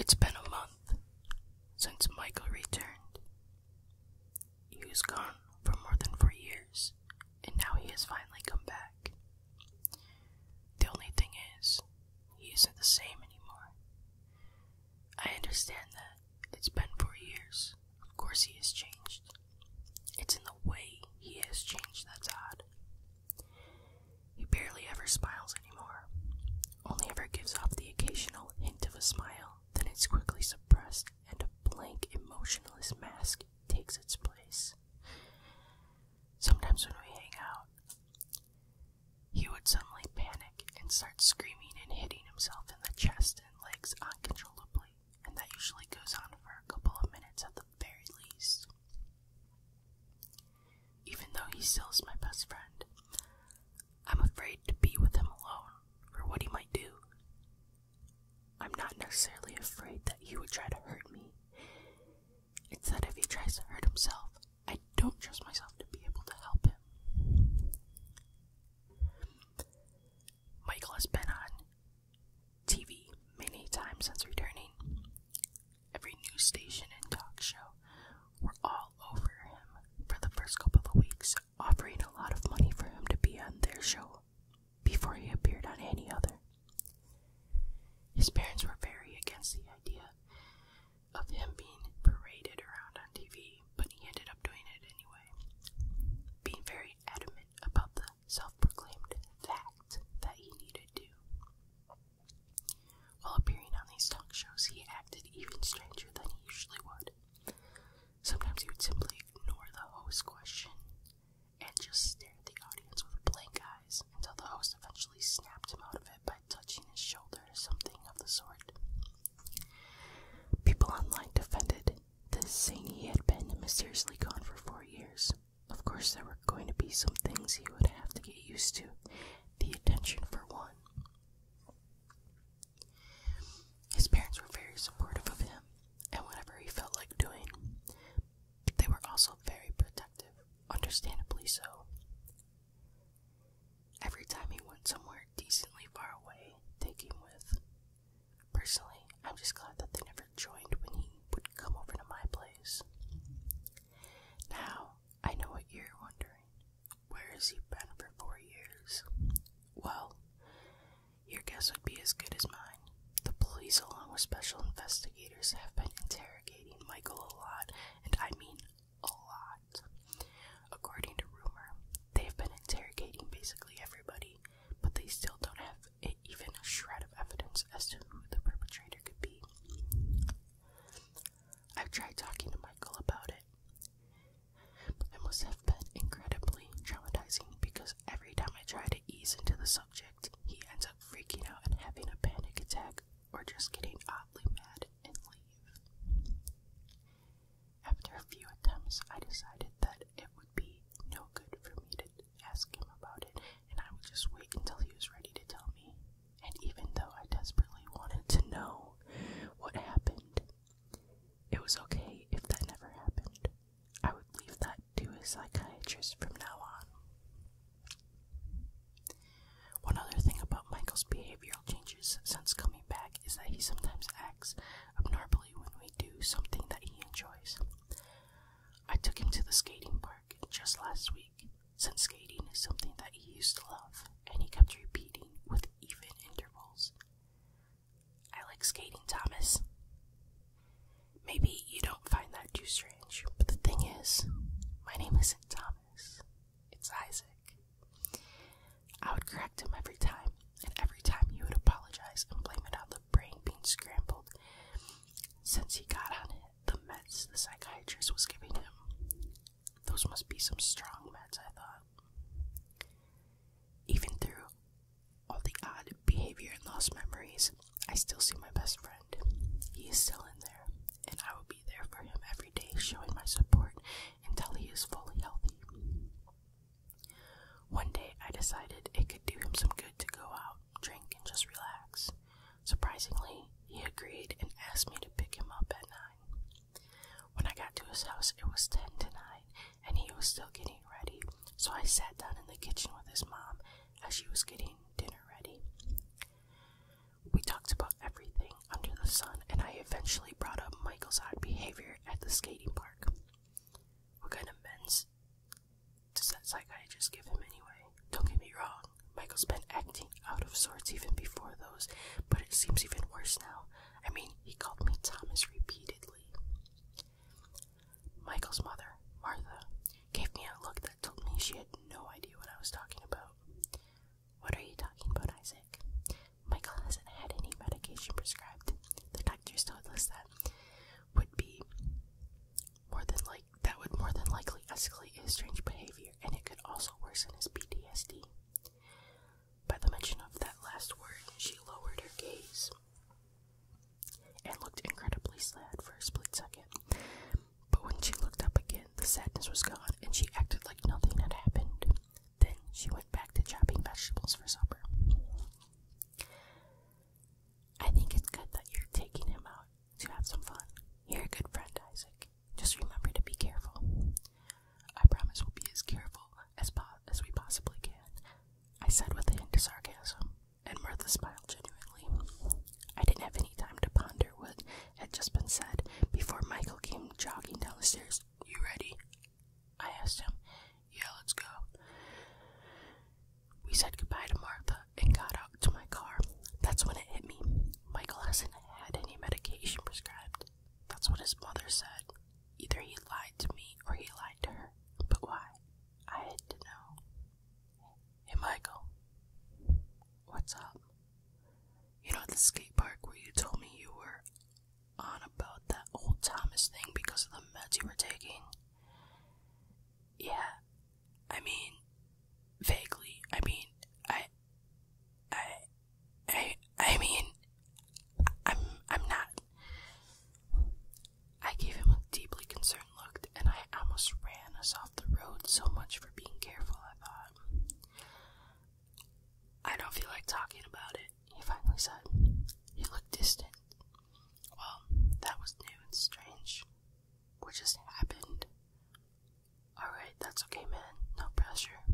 It's been a month since Michael returned. He was gone for more than four years, and now he has finally come back. The only thing is, he isn't the same anymore. I understand that. It's been four years. Of course, he has changed. It's in the way he has changed that's odd. He barely ever smiles anymore, only ever gives off the occasional hint of a smile, then it's quickly suppressed and a blank, emotionless mask takes its place. Sometimes when we hang out, he would suddenly panic and start screaming and hitting himself in the chest and legs uncontrollably and that usually goes on for a couple of minutes at the very least. Even though he still is my best friend, I'm afraid to be with him alone for what he might do. I'm not necessarily afraid that he would try to hurt me. It's that if he tries to hurt himself, I don't trust myself to be able to help him. Michael has been on TV many times since returning. Every news station and talk show were all over him for the first couple of weeks, offering a lot of money for him to be on their show before he appeared on any other. His parents were very against the idea of him being paraded around on TV, but he ended up doing it anyway. Being very adamant about the self proclaimed fact that he needed to. While appearing on these talk shows, he acted even stranger than he usually would. Sometimes he would simply ignore the host's question and just stare at the audience with blank eyes until the host eventually snapped him out of it by touching his shoulder or something of the sort. People online defended the saying he had been mysteriously gone for four years. Of course, there were going to be some things he would have to get used to, the attention for one. His parents were very supportive of him and whatever he felt like doing, they were also very protective, understandably so. Every time he went somewhere decently far away, they came with Personally, I'm just glad that they never joined when he would come over to my place. Now, I know what you're wondering. Where has he been for four years? Well, your guess would be as good as mine. The police, along with special investigators, have been interrogating Michael a lot, and I mean a lot. According to rumor, they've been interrogating basically everybody, but they still don't have a even a shred of evidence as to who the perpetrator could be. I've tried talking to Michael about it. It must have been incredibly traumatizing because every time I try to ease into the subject, he ends up freaking out and having a panic attack or just getting oddly mad and leave. After a few attempts, I decided that it would be no good for me to ask him about it, and I would just wait until he was ready to tell me. And even though I desperately wanted to know what happened, it was okay if that never happened. I would leave that to a psychiatrist from now on. One other thing about Michael's behavioral changes since coming back is that he sometimes acts abnormally when we do something that he enjoys. I took him to the skating park just last week, since skating is something that he used to love, and he kept repeating with even intervals. I like skating, Thomas. Maybe you don't find that too strange, but the thing is, my name isn't Thomas, it's Isaac. I would correct him every time, and every time he would apologize and blame it on the brain being scrambled since he got on it, the meds the psychiatrist was giving him. Those must be some strong meds, I thought. Even through all the odd behavior and lost memories, I still see my best friend. He is still in there, and I will be there for him every day, showing my support until he is fully healthy. One day I decided it could do him some good to go out drink, and just relax. Surprisingly, he agreed and asked me to pick him up at 9. When I got to his house, it was 10 to 9, and he was still getting ready, so I sat down in the kitchen with his mom as she was getting dinner ready. We talked about everything under the sun, and I eventually brought up Michael's odd behavior at the skating park. What kind of men's does that psychiatrist give him anyway? Don't get me wrong, Michael's been acting out of sorts even before those, but it seems even worse now. I mean, he called me Thomas repeatedly. Michael's mother, Martha, gave me a look that told me she had no idea what I was talking about. What are you talking about, Isaac? Michael hasn't had any medication prescribed. The doctors told us that would be more than like that would more than likely escalate his strange behavior, and it could also worsen his PTSD. By the mention of that last word, she lowered her gaze and looked incredibly sad for a split second. But when she looked up again, the sadness was gone, and she acted like nothing had happened. Then she went back to chopping vegetables for supper. I think it's good that you're taking him out to have some fun. You're a good friend, Isaac. Just remember to be careful. I promise we'll be as careful as, po as we possibly can, I said with a hint of sarcasm, and Martha smiled genuinely. I didn't have any time to ponder what had just been said before Michael came jogging down the stairs. You ready? I asked him. Yeah, let's go. We said goodbye to Martha and got out to my car. That's when it hit me. Michael hasn't had any medication prescribed. That's what his mother said. Either he lied to me or he lied to her. But why? I had to know. Hey, Michael. What's up? You know, the skate park where you told me you were on about that old Thomas thing because of the meds you were taking? Yeah. I mean, vaguely. I mean, I, I, I, I mean, I'm, I'm not. I gave him a deeply concerned look, and I almost ran us off the road. So much for being careful, I thought. I don't feel like talking about it, he finally said. He looked distant. Well, that was new and strange. What just happened? Alright, that's okay, man. No pressure.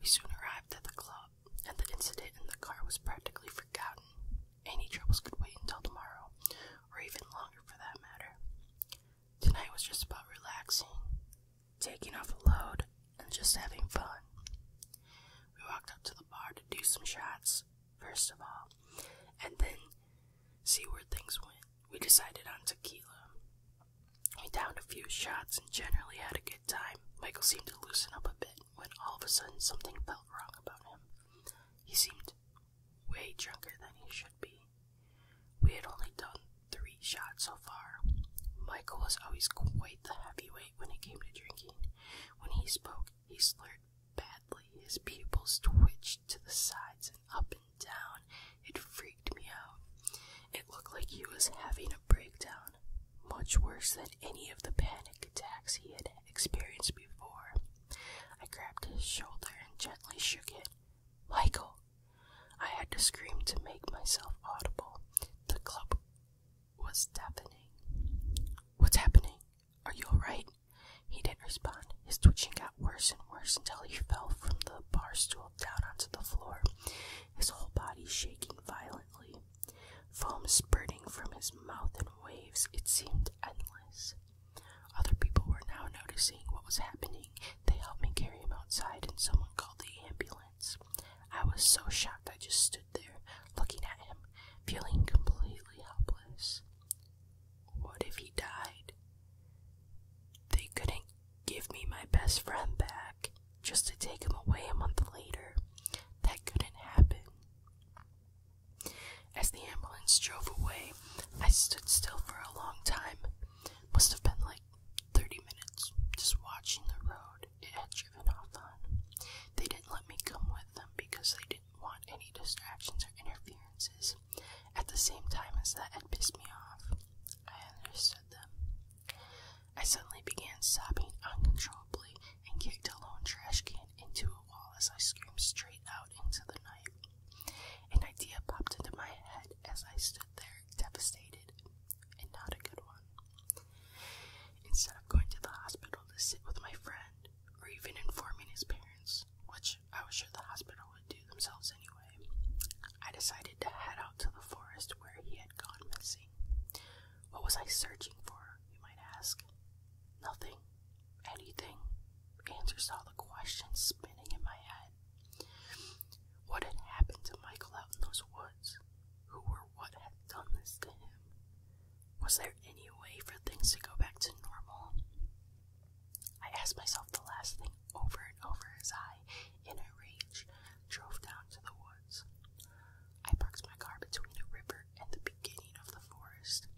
We soon arrived at the club, and the incident in the car was practically forgotten. Any troubles could wait until tomorrow, or even longer for that matter. Tonight was just about relaxing, taking off a load, and just having fun. We walked up to the bar to do some shots, first of all, and then see where things went. We decided on tequila. We downed a few shots and generally had a good time. Michael seemed to loosen up a bit when all of a sudden something felt wrong about him. He seemed way drunker than he should be. We had only done three shots so far. Michael was always quite the heavyweight when it came to drinking. When he spoke, he slurred badly. His pupils twitched to the sides and up and down. It freaked me out. It looked like he was having a breakdown, much worse than any of the panic attacks he had experienced before. I grabbed his shoulder and gently shook it. Michael! I had to scream to make myself audible. The club was deafening. What's happening? Are you alright? He didn't respond. His twitching got worse and worse until he fell from the bar stool down onto the floor, his whole body shaking violently, foam spurting from his mouth in waves. It seemed endless. Other people were now noticing what was happening. They helped me carry him outside, and someone called the ambulance. I was so shocked I just stood there, looking at him, feeling completely helpless. What if he died? They couldn't give me my best friend back just to take him away a month later. That couldn't happen. As the ambulance drove away, I stood still for a long time. Must have been like 30 minutes just watching the road it had driven off on. They didn't let me come with them because they did didn't want any distractions or interferences at the same time as that had pissed me off. I understood them. I suddenly began sobbing uncontrollably and kicked a lone trash can into a wall as I screamed straight out into the night. An idea popped into my head as I stood there, devastated, and not a good one. Instead of going to the hospital to sit with my friend, or even informing his parents, which I was sure the hospital would do themselves anyway, I decided to head out to the forest where he had gone missing. What was I searching for, you might ask? Nothing. Anything. Answers to all the questions spinning in my head. What had happened to Michael out in those woods? Who were what had done this to him? Was there any way for things to go back to normal? I asked myself the last thing over and over as I, in a rage, drove down to the woods. I parked my car between a river and the beginning of the forest,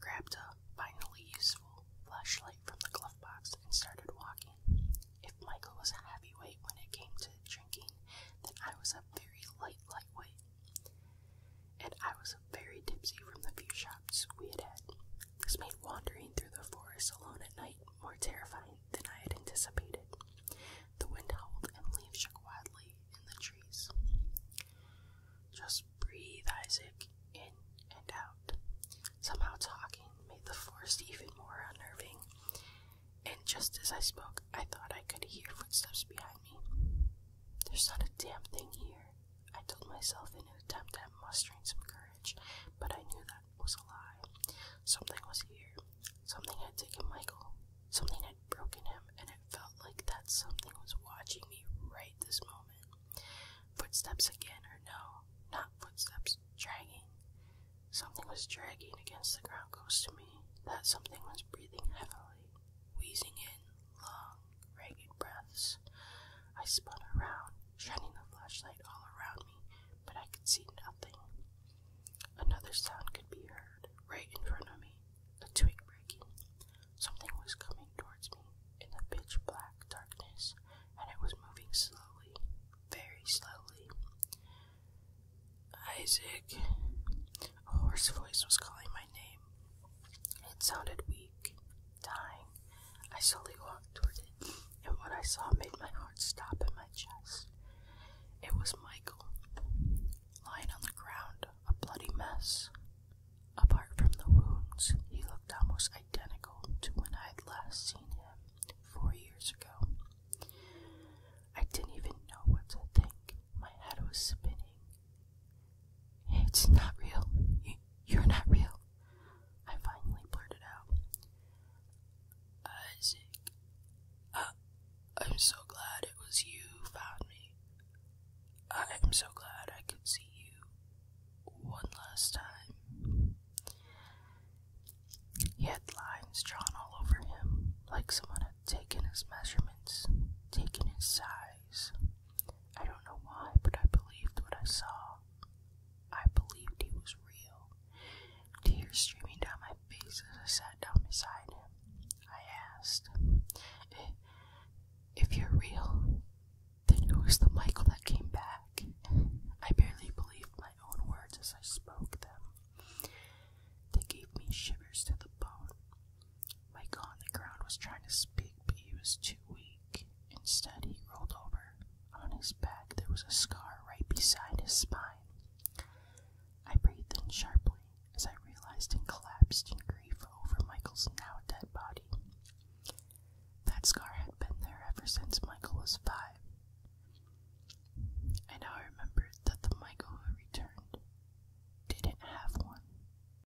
grabbed a finally useful flashlight from the glove box, and started walking. If Michael was a heavyweight when it came to drinking, then I was a very light lightweight and I was very tipsy from the few shots we had had. This made wandering through the forest alone at night more terrifying than I had anticipated. The wind howled and the leaves shook wildly in the trees. Just breathe, Isaac, in and out. Somehow talking made the forest even more unnerving, and just as I spoke, I thought I could hear footsteps behind me. There's not a damn thing here, I told myself in an attempt at mustering some courage, but I knew that was a lie. Something was here. Something had taken Michael. Something had broken him, and it felt like that something was watching me right this moment. Footsteps again, or no, not footsteps, dragging. Something was dragging against the ground close to me. That something was breathing heavily, wheezing in long, ragged breaths. I spun around, shining the flashlight all around me, but I could see nothing. Another sound could be heard right in front of me a twig breaking. Something was coming towards me in the pitch black darkness, and it was moving slowly, very slowly. Isaac! A hoarse voice was calling my name. It sounded weak, dying. I slowly walked toward it, and what I saw made my heart stop in my chest. It was Michael, lying on the ground, a bloody mess. Apart from the wounds, he looked almost identical to when I had last seen him four years ago. I didn't even know what to think. My head was spinning, it's not real. You, are not real. I finally blurted out. Isaac, uh, I'm so glad it was you who found me. I'm so glad I could see you one last time. He had lines drawn all over him, like someone had taken his measurements, taken his size. I don't know why, but I believed what I saw. I believed he was real. Tears streaming down my face as I sat down beside him. I asked, If you're real, then who is the Michael that came back? I barely believed my own words as I spoke them. They gave me shivers to the bone. Michael on the ground was trying to speak, but he was too weak. Instead, he rolled over. On his back, there was a scar right beside his spine. I breathed in sharply as I realized and collapsed in grief over Michael's now dead body. That scar had been there ever since Michael was five. I now remembered that the Michael who returned didn't have one.